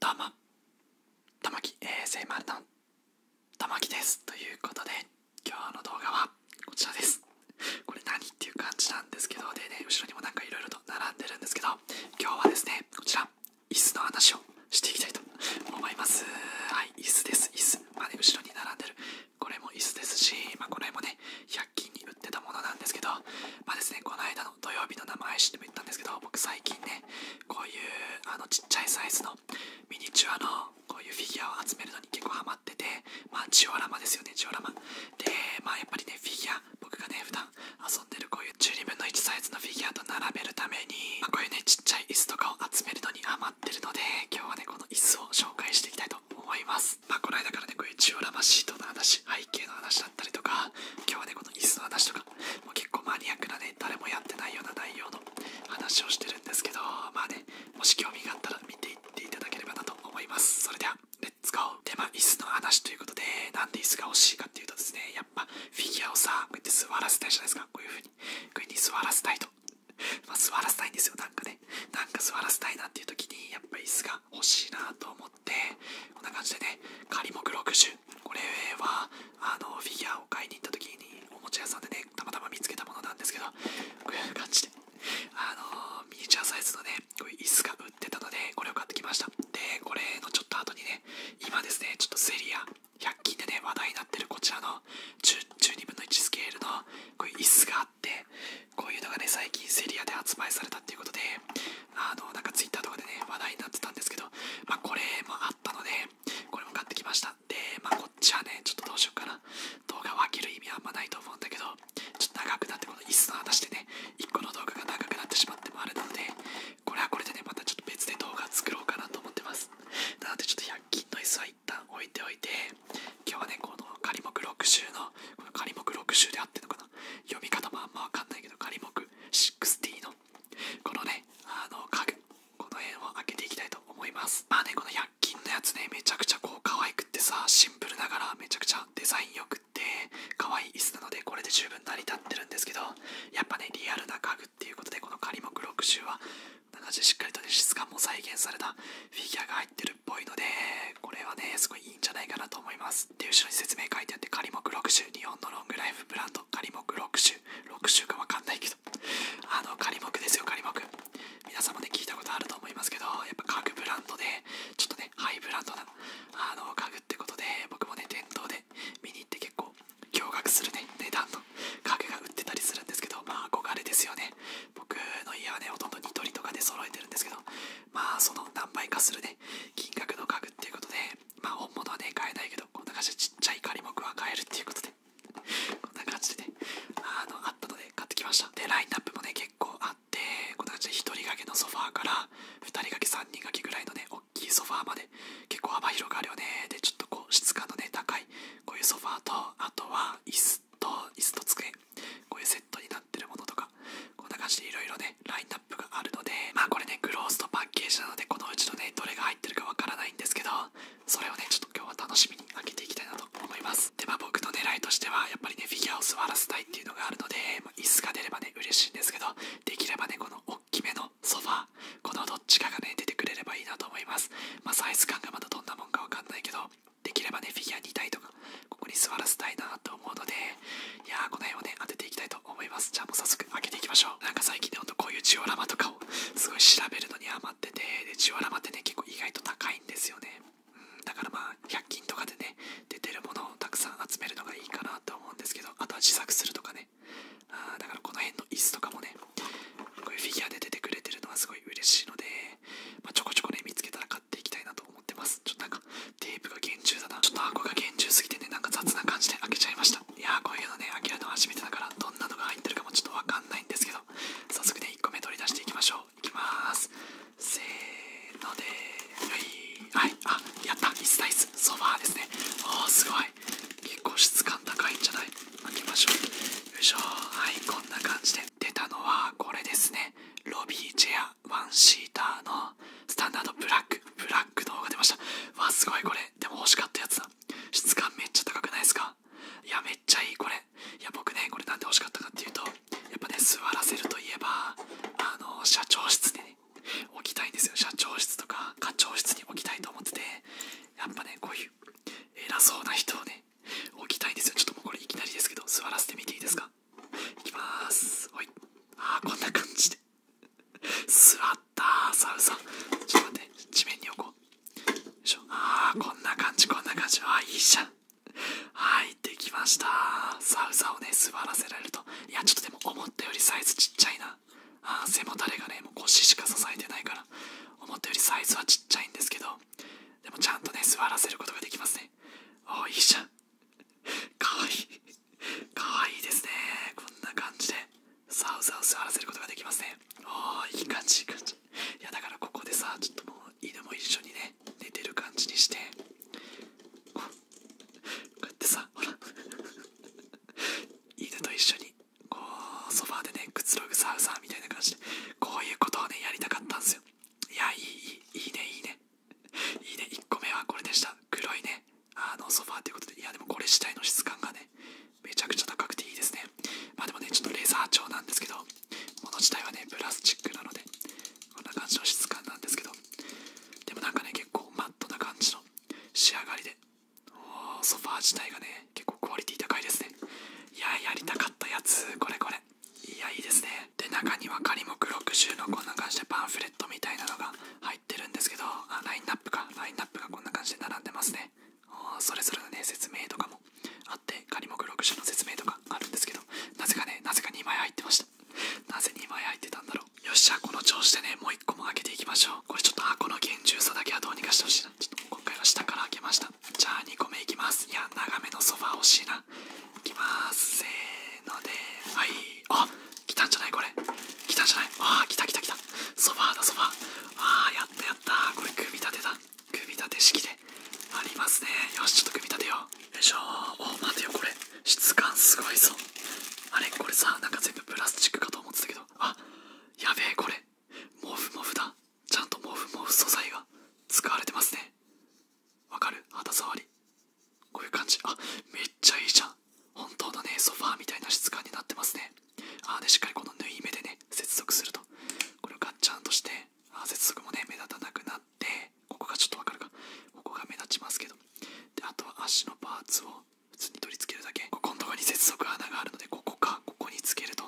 どうも玉木 ASMR の玉木ですということで今日の動画はこちらです。これ何っていう感じなんですけど、でね、後ろにもなんかいろいろと並んでるんですけど、今日はですね、こちら、椅子の話をしていきたいと思います。はい、椅子です、椅子。まあね、後ろに並んでる。これも椅子ですし、まこれもね、100均に売ってたものなんですけど、まあですね、この間の土曜日の生配信でも言ったんですけど、僕最近ね、こういうあのちっちゃいサイズのミニチュアのこういうフィギュアを集めるの結構ハマってて、まあ、ジオラマですよね、ジオラマ。で、まあ、やっぱりね、フィギュア、僕がね、普段遊んでるこういう12分の1サイズのフィギュアと並べるために、こういうね、ちっちゃい椅子とかを集めるのにハマってるので、今日はね、この椅子を紹介していきたいと思います。まあ、この間からね、こういうジオラマシートの話、背景の話だったりとか、今日はね、この椅子の話とか、もう結構マニアックなね、誰もやってないような内容の話をしてるんですけど、まあね、もし興味があったら見ていっいただければなと思います。それでは、レッツゴで、ま椅子の話ということで、なんで椅子が欲しいかっていうとですね、やっぱ、フィギュアをさ、こうやって座らせたいじゃないですか。こういう風に。こういう風に座らせたいと。まあ、座らせたいんですよ、なんかね。なんか座らせたいなっていう時に、やっぱ椅子が欲しいなと思って、こんな感じでね、仮目60。これは、あの、フィギュアを買いに行った時に、おもちゃ屋さんでね、たまたま見つけたものなんですけど、こういう感じで。あのミニチュアサイズのね、こういう椅子が売ってたので、これを買ってきました。で、これのちょっと後にね、今ですね、ちょっとセリア、100均でね、話題になってるこちらの12分の1スケールのこういう椅子があって、こういうのがね、最近セリアで発売されたっていうことで、あの、なんかツイッターとかでね、話題になってたんですけど、まあ、これもあったので、これも買ってきました。で、まこっちはね、ちょっとどうしようかな。動画を分ける意味あんまないと思うんだけど、ちょっと長くなって、この椅子の話でね、1個の動画が長くなってしまってもあるので、これはこれでね、またちょっと別で動画作ろうかなと思ってます。なので、ちょっと100均の椅子は一旦置いておいて、今日はね、この仮目6週の、この仮目6週であってんのかな。読み方もあんまわかんないけど、仮目60の、このね、あの家具、この辺を開けていきたいと思いますまあねこの100均のやつねめちゃくちゃこう可愛くってさシンプルながらめちゃくちゃデザインよくって可愛い椅子なのでこれで十分成り立ってるんですけどやっぱねリアルな家具っていうことでこのカリ仮ク60は7なしっかりとね質感も再現されたフィギュアが入ってるっぽいのでこれはねすごいいいんじゃないかなと思いますで後ろに説明書いてあって仮ク60日本のロングライフブランド仮木6060かわかんないけどけどあの仮木ですよ仮木皆さんもね聞いたことあると思いますけどやっぱ家具ブランドでちょっとねハイブランドなあの家具ってことで僕もね店頭で見に行って結構驚愕するね値段の家具が売ってたりするんですけどまあ憧れですよね僕の家はねほとんどニトリとかで揃えてるんですけどまあその何倍かするね金額の家具っていうことでまあ本物はね買えないけどこんな感じでちっちゃい仮木は買えるっていうことでこんな感じでね、あの、あったので買ってきました。で、ラインナップもね、結構あって、こんな感じで1人掛けのソファーから、2人掛け、3人掛けぐらいのね、大きいソファーまで、結構幅広があるよね。で、ちょっとこう、質感のね、高い、こういうソファーと、あとは椅子と、椅子と机、こういうセットになってるものとか、こんな感じでいろいろね、ラインナップがあるので、まあこれね、グローストパパッなのでこのうちのねどれが入ってるかわからないんですけどそれをねちょっと今日は楽しみに開けていきたいなと思いますでまあ僕の狙いとしてはやっぱりねフィギュアを座らせたいっていうのがあるので、ま椅子が出ればね嬉しいんですけどできればねこのおっきめのソファこのどっちかがね出てくれればいいなと思いますまあサイズ感がまだどんなもんかわかんないけどできればねフィギュア2体とかここに座らせたいなと思うのでいやーこの辺をね当てていきたい思いますじゃあもう早速開けていきましょうなんか最近ねほんとこういうジオラマとかをすごい調べるのに余っててでジオラマってね結構意外と高いんですよねうんだからまあ100均とかでね出てるものをたくさん集めるのがいいかなと思うんですけどあとは自作するとかねあだからこの辺の椅子とかもねこういうフィギュアで出てくれてるのはすごい嬉しいので、まちょこちょこね見つけたら買っていきたいなと思ってますちょっとなんかテープが厳重だなちょっと箱が厳重すぎてねなんか雑な感じで開けちゃいましたいやーこういうのね諦けるめたからどんなのが入ってるかもちょっとわかんないんですけど早速ね1個目取り出していきましょういきますせーのではい、はい、あやった椅子だ椅子ソファーですねおーすごい結構質感高いんじゃない開けましょうよいしょはいこんな感じで出たのはこれですねロビーチェアワンシーターのスタンダードブラックブラックの方が出ましたわすごいこれでも欲しかったやつだ質感めっちゃ高くないですかいやめっちゃいいこれいや僕ねこれなんで欲しかったかっていうとやっぱね座らせるといえばあの社長室に、ね、置きたいんですよ社長室とか課長室に置きたいと思っててやっぱねこういう偉そうな人をね置きたいんですよちょっともうこれいきなりですけど座らせてみていいですかいきますおいあーこんな感じで座ったサウさんちょっと待って地面に置こうああこんな感じこんな感じあーいいじゃんはいできましたサウサをね座らせられるといやちょっとでも思ったよりサイズちっちゃいなあ背もたれがね腰しか支えてないから思ったよりサイズはちっちゃいんですけどでもちゃんとね座らせることができますねおいしじゃんかわいいかわいいですねこんな感じでサウザウ触らせることができますねおあいい感じいい感じいやだからここでさちょっともう犬も一緒にね寝てる感じにしてこうやってさほら犬と一緒にこうソファーでねくつろぐサウザーみたいな感じでこういうことをねやりたかったんですよいやいいいいいいねいいねいいね、1個目はこれでした。黒いね、あのソファーということで、いやでもこれ自体の質感がね、めちゃくちゃ高くていいですね。まあでもね、ちょっとレザー調なんですけど、の自体はね、プラスチックなので、こんな感じの質感なんですけど、でもなんかね、結構マットな感じの仕上がりで、おソファー自体がね、結構クオリティ高いですね。いや、やりたかったやつ、これこれ。いやいいですねで中には仮目6 0のこんな感じでパンフレットみたいなのが入ってるんですけどあラインナップかラインナップがこんな感じで並んでますねそれぞれのね説明とかもあって仮目6 0の説明とかあるんですけどなぜかねなぜか2枚入ってましたなぜ2枚入ってたんだろうよっしゃこの調子でねもう1個も開けていきましょうこれちょっと箱の厳重さだけはどうにかしてほしいなちょっと今回は下から開けましたじゃあ2個目いきますいや長めのソファー欲しいないきますせーのではいあ来たんじゃないこれ来たんじゃないああ来た来た来たソファーだソファーあーやったやったこれ組み立てだ組み立て式でありますねよしちょっと組み立てようよいしょお待てよこれ質感すごいぞあれこれさなんか全部プラスチックかと思ってたけどあやべえこれモフモフだちゃんと毛布毛布素材が使われてますねわかる肌触りこういう感じあめっちゃいいじゃん本当のねソファーみたいな質感になってますねああでしっかりこの縫い目でね接続するとこれをガッチャンとしてあ接続もね目立たなくなってここがちょっとわかるかここが目立ちますけどであとは足のパーツを普通に取り付けるだけここのとこに接続穴があるのでここかここにつけると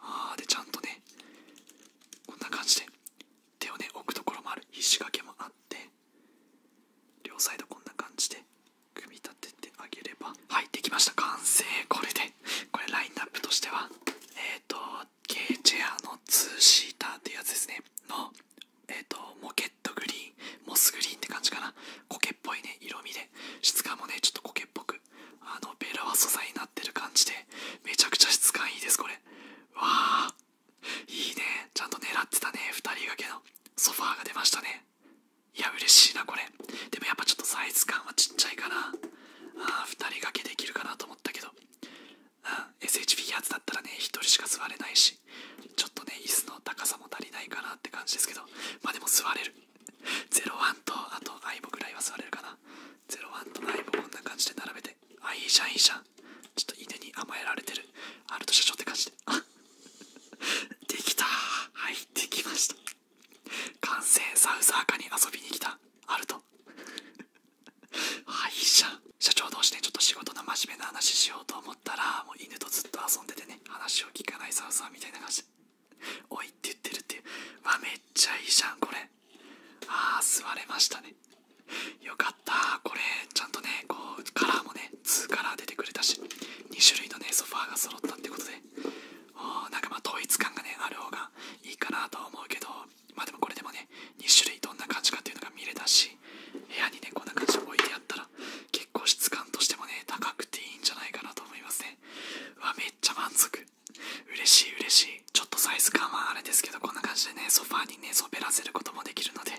ああでちゃんとねこんな感じで手をね置くところもあるひし掛けもあって両サイドこんな感じで組み立ててあげればはいできました完成これでこれラインナップとしてはえっ、ー、と K チェアの2シーターっていうやつですねのえっ、とモケットグリーンモスグリーンって感じかな苔っぽいね色味で質感もねちょっと苔っぽくあのベラは素材になってる感じでめちゃくちゃ質感いいですこれわあいいねちゃんと狙ってたね2人掛けのソファーが出ましたねいや嬉しいなこれでもやっぱちょっとサイズ感はちっちゃいかなあ2人掛けできるかなと思ったけど、うん、SH p やつだったらね1人しか座れないしちょっとね椅子の高さも足りないかなって感じですけどまあでも座れる01とあと相棒ぐらいは座れるかな01とイ棒こんな感じで並べてあいいじゃんいいじゃんちょっと犬に甘えられてるアルト社長って感じであ できたはいできました完成サウザーカに遊びに来たアルトはいじゃん社長同士でちょっと仕事の真面目な話しようと思ったらもう犬とずっと遊んでてね話を聞かないサウザーみたいな感じで「おい」って言ってるっていうわめっちゃいいじゃんこれああ座れましたねよかったこれちゃんとねこうカラーもね2カラー出てくれたし2種類のねソファーが揃ったってことでおなんかまあ統一感がねある方がいいかなとは思うけどまあでもこれでもね2種類どんな感じかっていうのが見れたし部屋にねこんな感じで置いてあったら結構質感としてもね高くていいんじゃないかなと思いますうわめっちゃ満足嬉しい嬉しいちょっとサイズ感はあれですけどこんな感じでねソファーにねそべらせることもできるので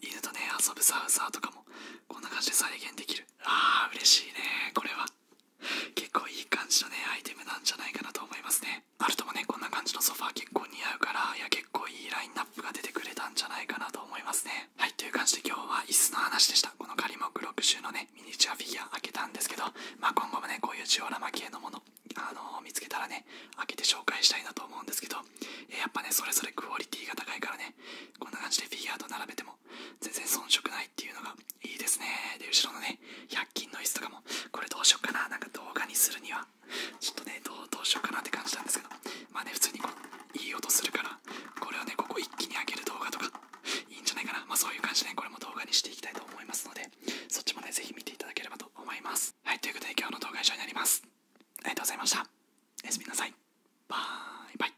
犬とね遊ぶサウザーとかもこんな感じで再現できるあー嬉しいねこれは結構いい感じのねアイテムなんじゃないかなと思いますねあるともねこんな感じのソファー結構似合うからいや結構いいラインナップが出てくれたんじゃないかなと思いますねはい、という感じで今日は椅子の話でした。この仮目6種のね、ミニチュアフィギュア開けたんですけど、まあ今後もね、こういうジオラマ系のもの、あの見つけたらね、開けて紹介したいなと思うんですけど、えやっぱね、それぞれクオリティが高いからね、こんな感じでフィギュアと並べても、全然遜色ないっていうのがいいですね。で、後ろのね、100均の椅子とかも、これどうしよっかな、なんか動画にするには、ちょっとね、どうどうしようかなって感じなんですけど、まあね、普通にいい音するから、からこれをねここ一気に開ける動画とかいいんじゃないかなまあそういう感じで、ね、これも動画にしていきたいと思いますのでそっちもねぜひ見ていただければと思いますはいということで今日の動画は以上になりますありがとうございましたおやすみなさいバイバイ